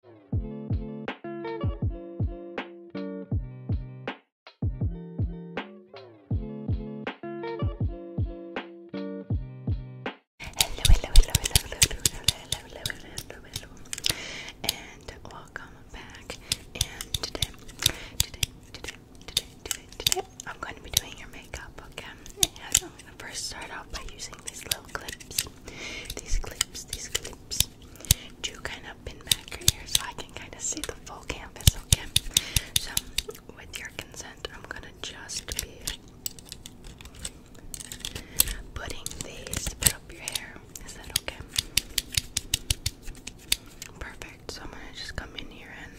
hello, hello, hello, hello, hello, hello, hello, and welcome back. And today, today, today, today, today, today, I'm going to be doing your makeup, okay? And I'm going to first start off by using these little clips, these clips, these clips, do kind of pin back your ear so I can kind of see the full canvas, okay? So, with your consent, I'm gonna just be putting these to put up your hair. Is that okay? Perfect. So, I'm gonna just come in here and.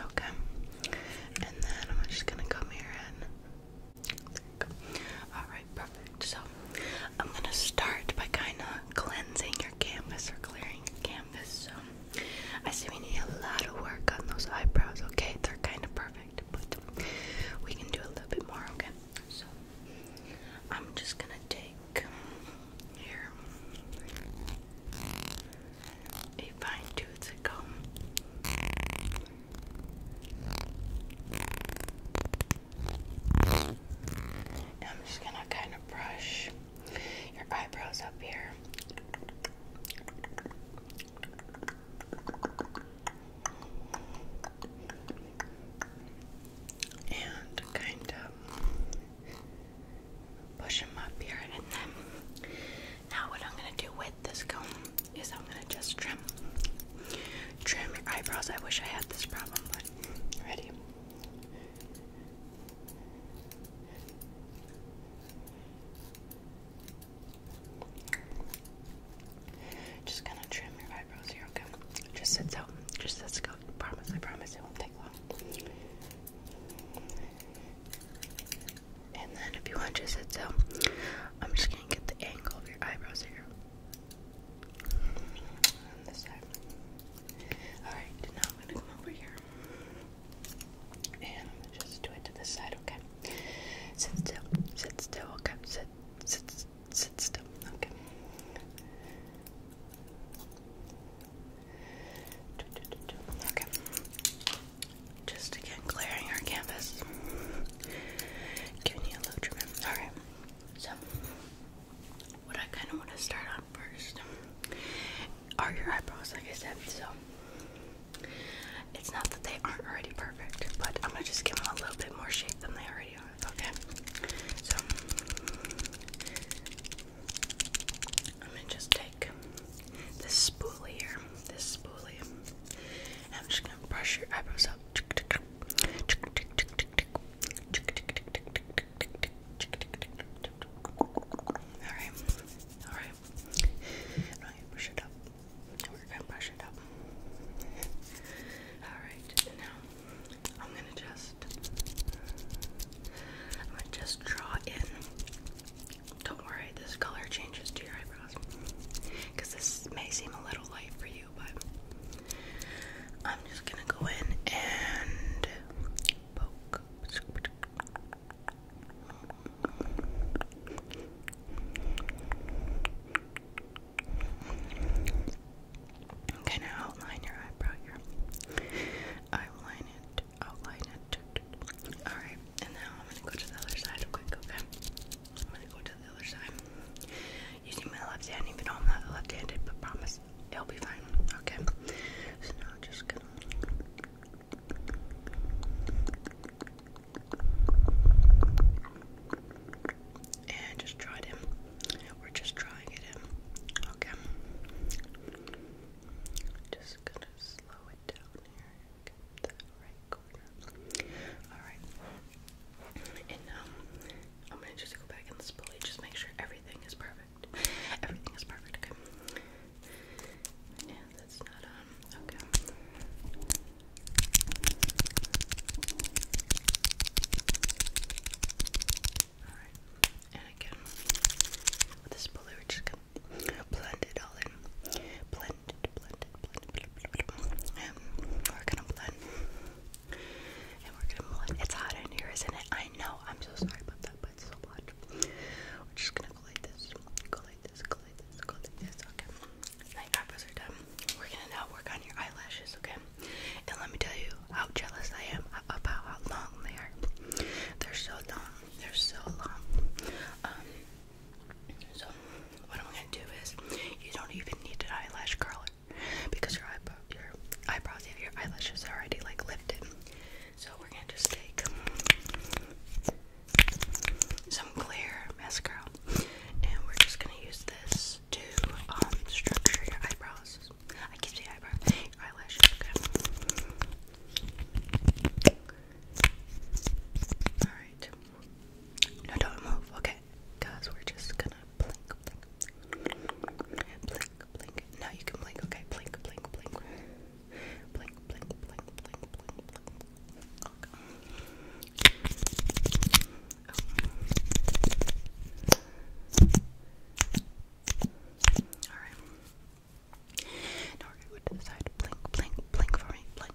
Okay. And then I'm just gonna come here and. Alright, perfect. So I'm gonna start by kinda cleansing your canvas or clearing your canvas. So I see we need a lot of work on those eyebrows, okay? They're kinda perfect, but we can do a little bit more, okay? So I'm just gonna take here a fine tooth comb I'm just gonna kind of brush your eyebrows up here. And kind of push them up here, and then now what I'm gonna do with this comb is I'm gonna just trim trim your eyebrows. I wish I had this problem, but ready. Just gonna trim your eyebrows here, okay? Just sits out. Just sits out. Promise, I promise it won't take long. And then if you want to sit out, I'm just just going get the angle of your eyebrows here. Alright, now I'm gonna come over here. And I'm gonna just do it to this side, okay? Sit still, sit still, okay? Sit, sit, sit still, Okay. Just again clearing our canvas. Giving you a little treatment. Alright. So what I kinda wanna start on first are your eyebrows, like I said, so it's not that they aren't already perfect, but I'm gonna just give them a little bit more shape than they already are. Okay. So I'm gonna just take this spoolie here, this spoolie, and I'm just gonna brush your eyebrows so Alright, alright. Now you push it up. We're gonna brush it up. Alright, now I'm gonna just I'm gonna just draw in. Don't worry, this color changes to your because this may seem a little light for you, but I'm just gonna go in and Kind of outline your eyebrow here. Outline it. Outline it. All right, and now I'm gonna go to the other side quick. Okay. I'm gonna go to the other side. Using my left hand, even though I'm not left handed, but promise it'll be fine. Okay. So now just and just try it in. We're just trying it in. Okay. Just gonna slow it down here. Alright. And now um, I'm gonna just go back in this bully, just make sure everything is perfect. Everything is perfect, okay? Yeah, that's not on. Um, okay. Alright. And again, with this bully, we're just gonna blend it all in. Blend we're gonna blend. And we're gonna blend. It's hot in here, isn't it? I know. I'm so sorry about that, but it's so hot. We're just gonna go like this. Go like this. Go like this. Go like this. Okay. Night eyebrows are done. We're gonna now work on your eyelashes, okay? And let me tell you how jealous I am about how long they are. They're so long. They're so long. Um, so, what I'm gonna do is, you don't even need an eyelash curler because your eyebrows and your eyelashes are already like lifted. So we're gonna just take some clear mascara, and we're just gonna use this to um, structure your eyebrows. I keep the eyebrow, your eyelashes. Okay. All right. No, don't move. Okay, guys, we're just gonna blink, blink, blink, blink. you can blink. Okay, blink, blink, blink, blink, blink, blink, blink, blink, All right. Now we're going to the side. Blink, blink, blink for me. Blink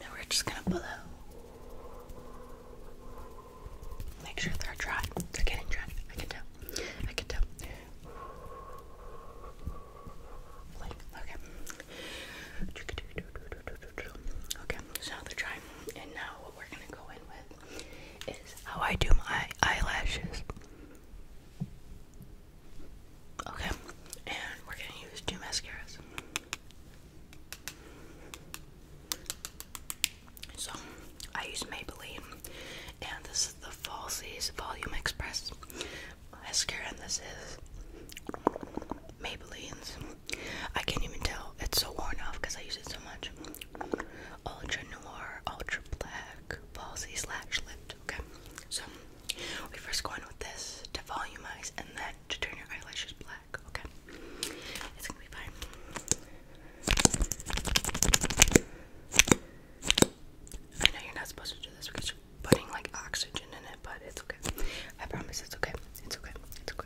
now we're just gonna blow. Make sure they're dry. They're getting dry. I can tell. I can tell. okay. Okay, so they're dry. And now what we're gonna go in with is how I do my eyelashes. Okay, and we're gonna use two mascaras. So I use Maybelline, and this is the Falsies Volume Express mascara, and this is Maybelline's. I can't even tell; it's so worn off because I use it so much. Ultra Noir, Ultra Black, Falsies Lash Lift. Okay, so we first go in with this to volumize, and then to turn your eyelashes black. I know you're not supposed to do this because you're putting like oxygen in it, but it's okay. I promise it's okay. It's okay. It's Okay.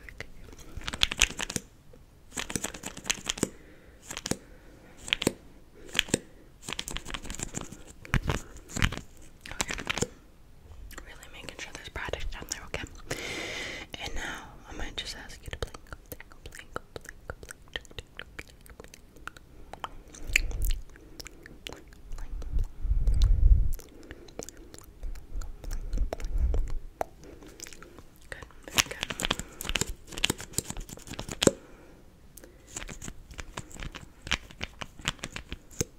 Really making sure there's product down there, okay? And now I might just ask you to blink, blink, blink, blink, blink, blink, blink, blink. Good, very good.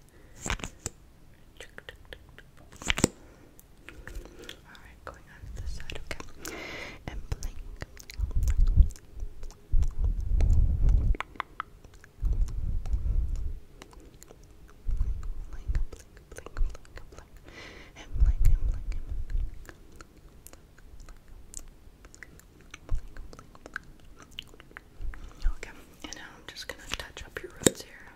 Alright, going on to this side, okay. And blink. Blink, blink, blink, blink, blink. And blink, and blink, and blink. Okay, and now I'm just gonna touch up your roots here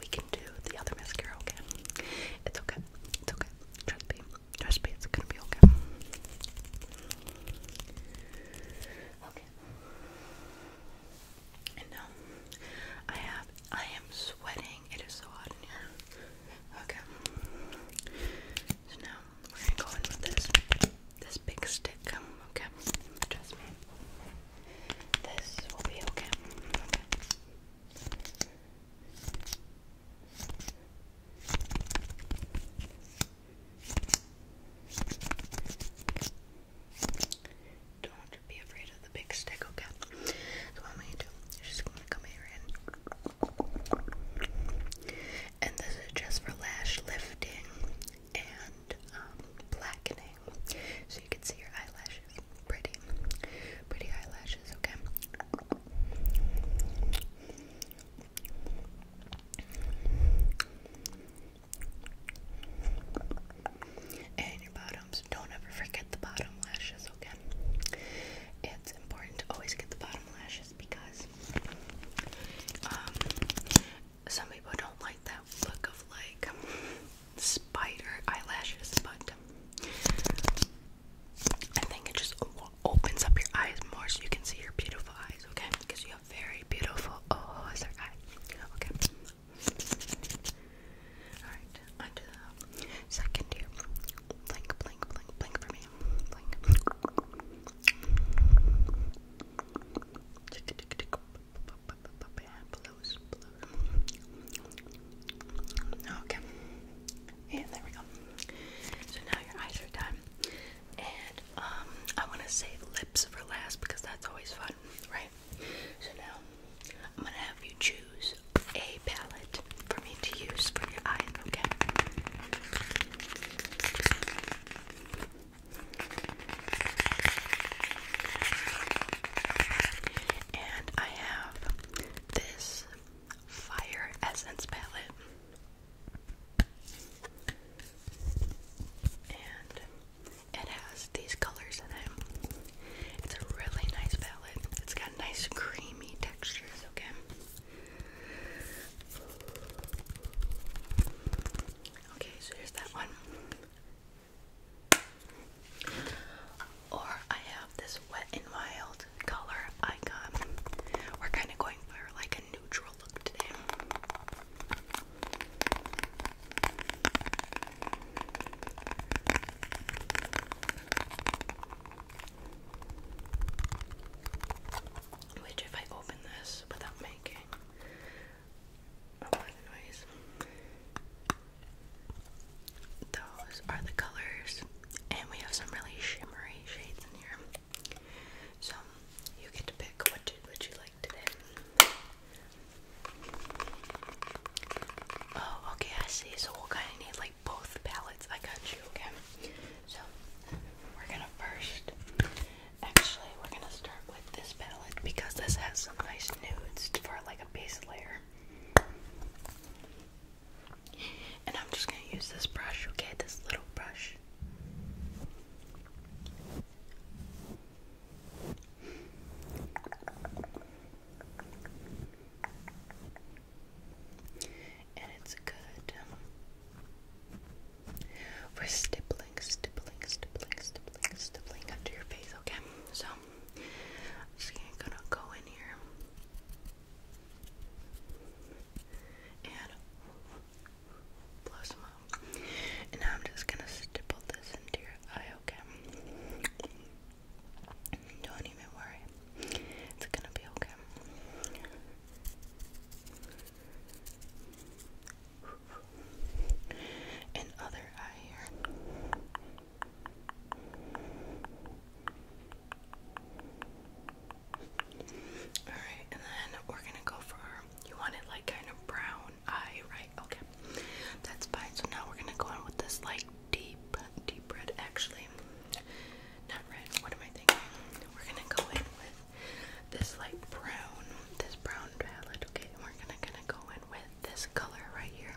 we can do the other mascara, okay? It's okay. It's okay. Trust me. Trust me, it's gonna be okay. Okay. And now I have I am sweating. It is so hot in here. Okay. So now we're gonna go in with this this big stick. Okay. Trust me. This will be okay. Okay. Don't be afraid of the big stick, okay? So what i gonna do is just gonna come here and and this is just for lash lifting and um, blackening you can see your eyelashes. Pretty, pretty eyelashes, okay? And your bottoms. Don't ever forget the bottom lashes, okay? It's important to always get the bottom lashes because um, some people don't like that look of like spider eyelashes, but I think it just opens up your eyes more so you can see your beautiful eyes, okay? Because you have very beautiful. Oh, is there eye? Okay. Alright, on the second here. Blink, blink, blink, blink for me. Oh, okay. And there we go. So now your eyes are done. And um I wanna save lips for last because that's always fun, right? So now I'm gonna have you choose a palette for me to use for your eyes, okay? And I this fire essence palette. And it has these colors in it. It's a really nice palette. It's got nice creamy textures, okay? Okay, so here's that one. Or I have this Wet n Wild color icon. We're kind of going for like a neutral look today. Which, if I open this without making a lot of noise, those are the colors, and we have some really shimmery shades in here. So you get to pick what you, like today. Oh, okay, I see. So we'll kind of need like both palettes. I got you, okay? So we're gonna first. Actually, we're gonna start with this palette because this has some nice nudes for like a base layer. And I'm just going to use this brush, okay? This little brush. And it's good for stippling, stippling, stippling, stippling, stippling under your face, okay? So I'm gonna go in here and blow some And now I'm just gonna stipple this into your eye, okay? Don't even worry. It's gonna be okay. In other eye here. Alright, and then we're gonna go for you want it like kind of brown eye, right? Okay. That's fine. So now we're gonna go in with this like deep, deep red actually. Not red, what am I thinking? We're gonna go in with this like brown, this brown palette, okay, we're gonna kinda go with this color right here.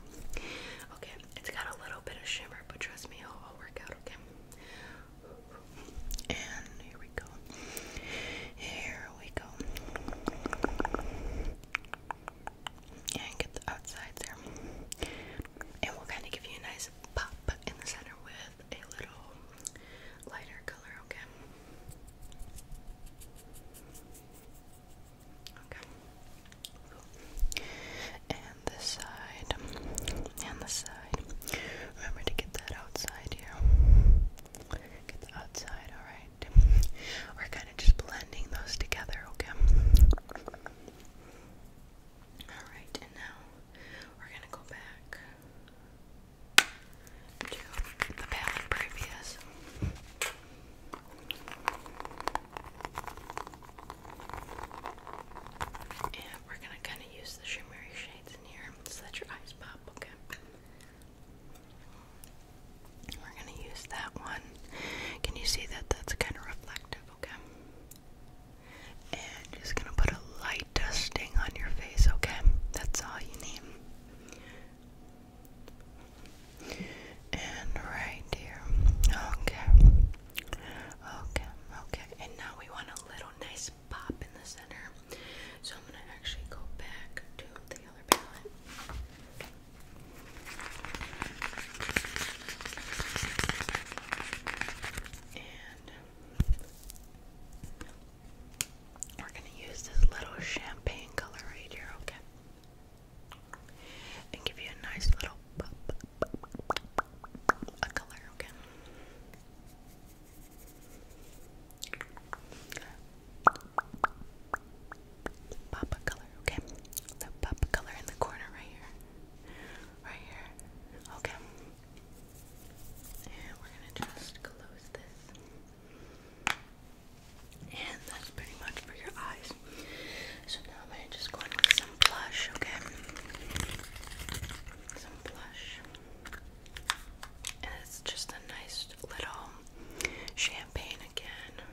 Okay, it's got a little bit of shimmer, but trust me, it'll work out, okay? And here we go. Here we go. And get the outside there. And we'll kind of give you a nice pop in the center with a little lighter color, okay? And this side. And this side. Remember to get that outside here. Get the outside, alright. We're kind of just blending those together, okay? Alright, and now we're gonna go back to the palette previous. And we're gonna kind of use the shimmery shades in here so that your eyes pop, okay? We're gonna use that one. Can you see that that's kind of reflective, okay? And just gonna put a light dusting on your face, okay? That's all you need. And right here. Okay. Okay, okay. And now we want a little nice pop in the center. So I'm going to actually go back to the other palette. And we're going to use this little champagne color right here, okay? and give you a nice little pop, a color, okay? Pop a color, okay? So pop a color in the corner right here. Right here. Okay. And we're gonna just close this. And that's pretty much for your eyes. So now I'm going to just go in with some blush, okay? Some blush. And it's just a nice little champagne again.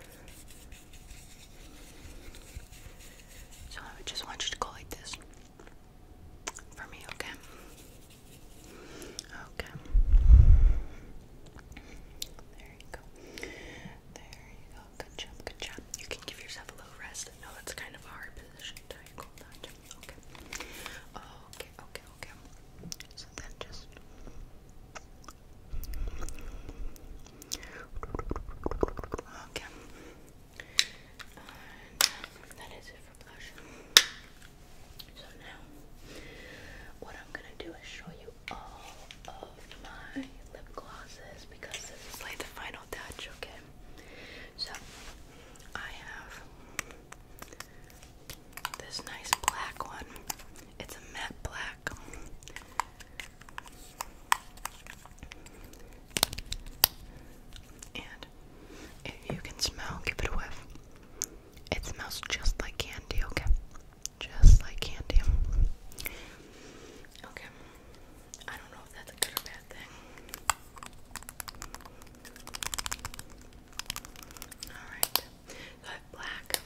So I just want you to go like this for me, okay? Okay. There you go. Good job. Good job. You can give yourself a little rest. No, it's kind of a hard position to hold on Okay. Okay. Okay. Okay. So then just. Okay. Um, that is it for blush. So now, what I'm gonna do is show you all my lip glosses because this is like the final touch, okay? So, I have this nice black one. It's a matte black. And if you can smell, give it a whiff. It smells just like candy, okay? Just like candy. Okay. I don't know if that's a good or bad thing. Alright. I have black.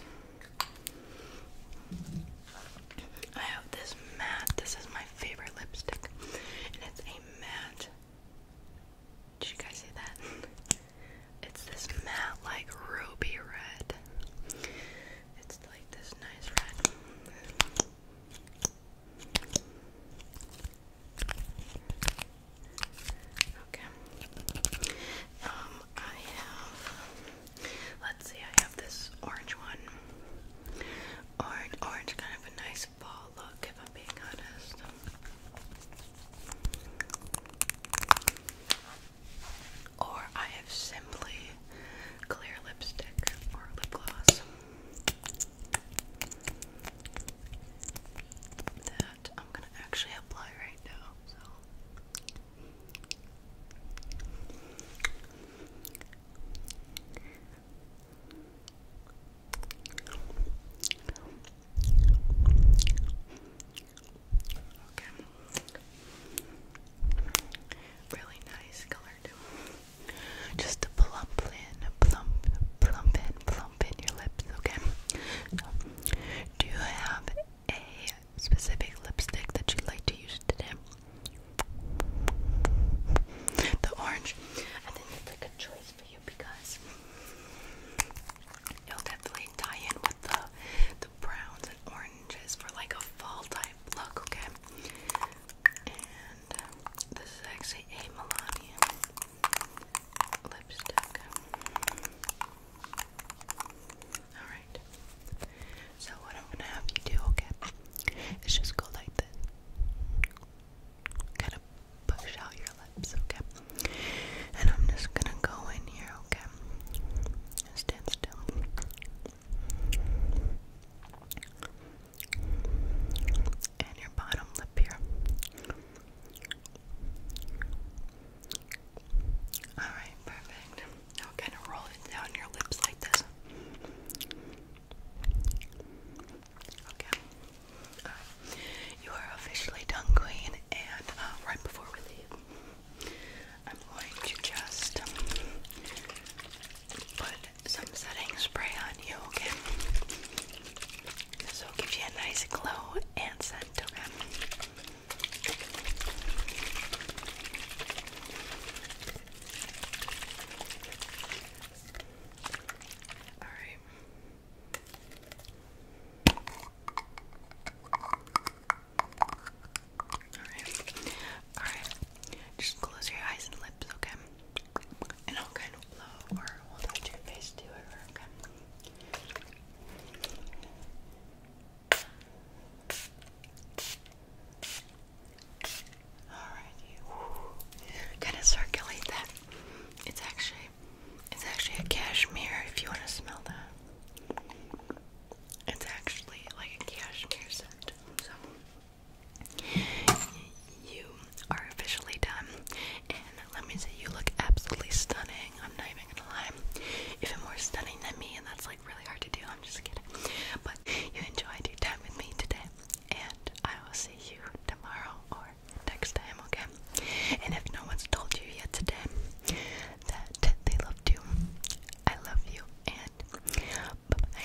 I have this matte. This is my favorite lipstick. And it's a matte. Did you guys see that? It's this matte, like ruby red. It's like this nice red. Okay. Um, I have. Let's see. I have this orange one. Orange, orange, kind of a nice fall look. If I'm being honest. Or I have simply clear lipstick or lip gloss that I'm gonna actually apply right now. Okay. Really nice color Just to plump in, plump, plump in, plump in your lips, okay? do you have a specific lipstick that you like to use today? The orange. I think it's like a choice for you because you'll definitely tie in with the the browns and orange oranges for like a fall type look, okay? And um, this is actually a Melania lipstick. Alright. So what I'm gonna have you do, okay, is just go like this. Kind of push out your lips, okay? And I'm just gonna go in here, okay? And your bottom lip here. Alright, perfect. Now kind of roll it down your lips like this. Okay. You are officially done, Queen, and uh, right before we leave, I'm going to just um, put some setting spray on you, okay? So it'll you a nice glow and scent, All right. Alright. Alright. Just close your eyes and lips, okay? And I'll kind of blow or hold on to your face to it, okay? Alrighty. Kind of circulate that. It's actually, it's actually a cashmere if you want to smell that. It's actually like a cashmere set, So you are officially done. And let me say you look absolutely stunning. I'm not even gonna lie. Even more stunning than me, and that's like really hard to do, I'm just kidding. But you enjoyed your time with me today. And I will see you tomorrow or next time, okay? And if no one's told you yet today that they loved you, I love you and bye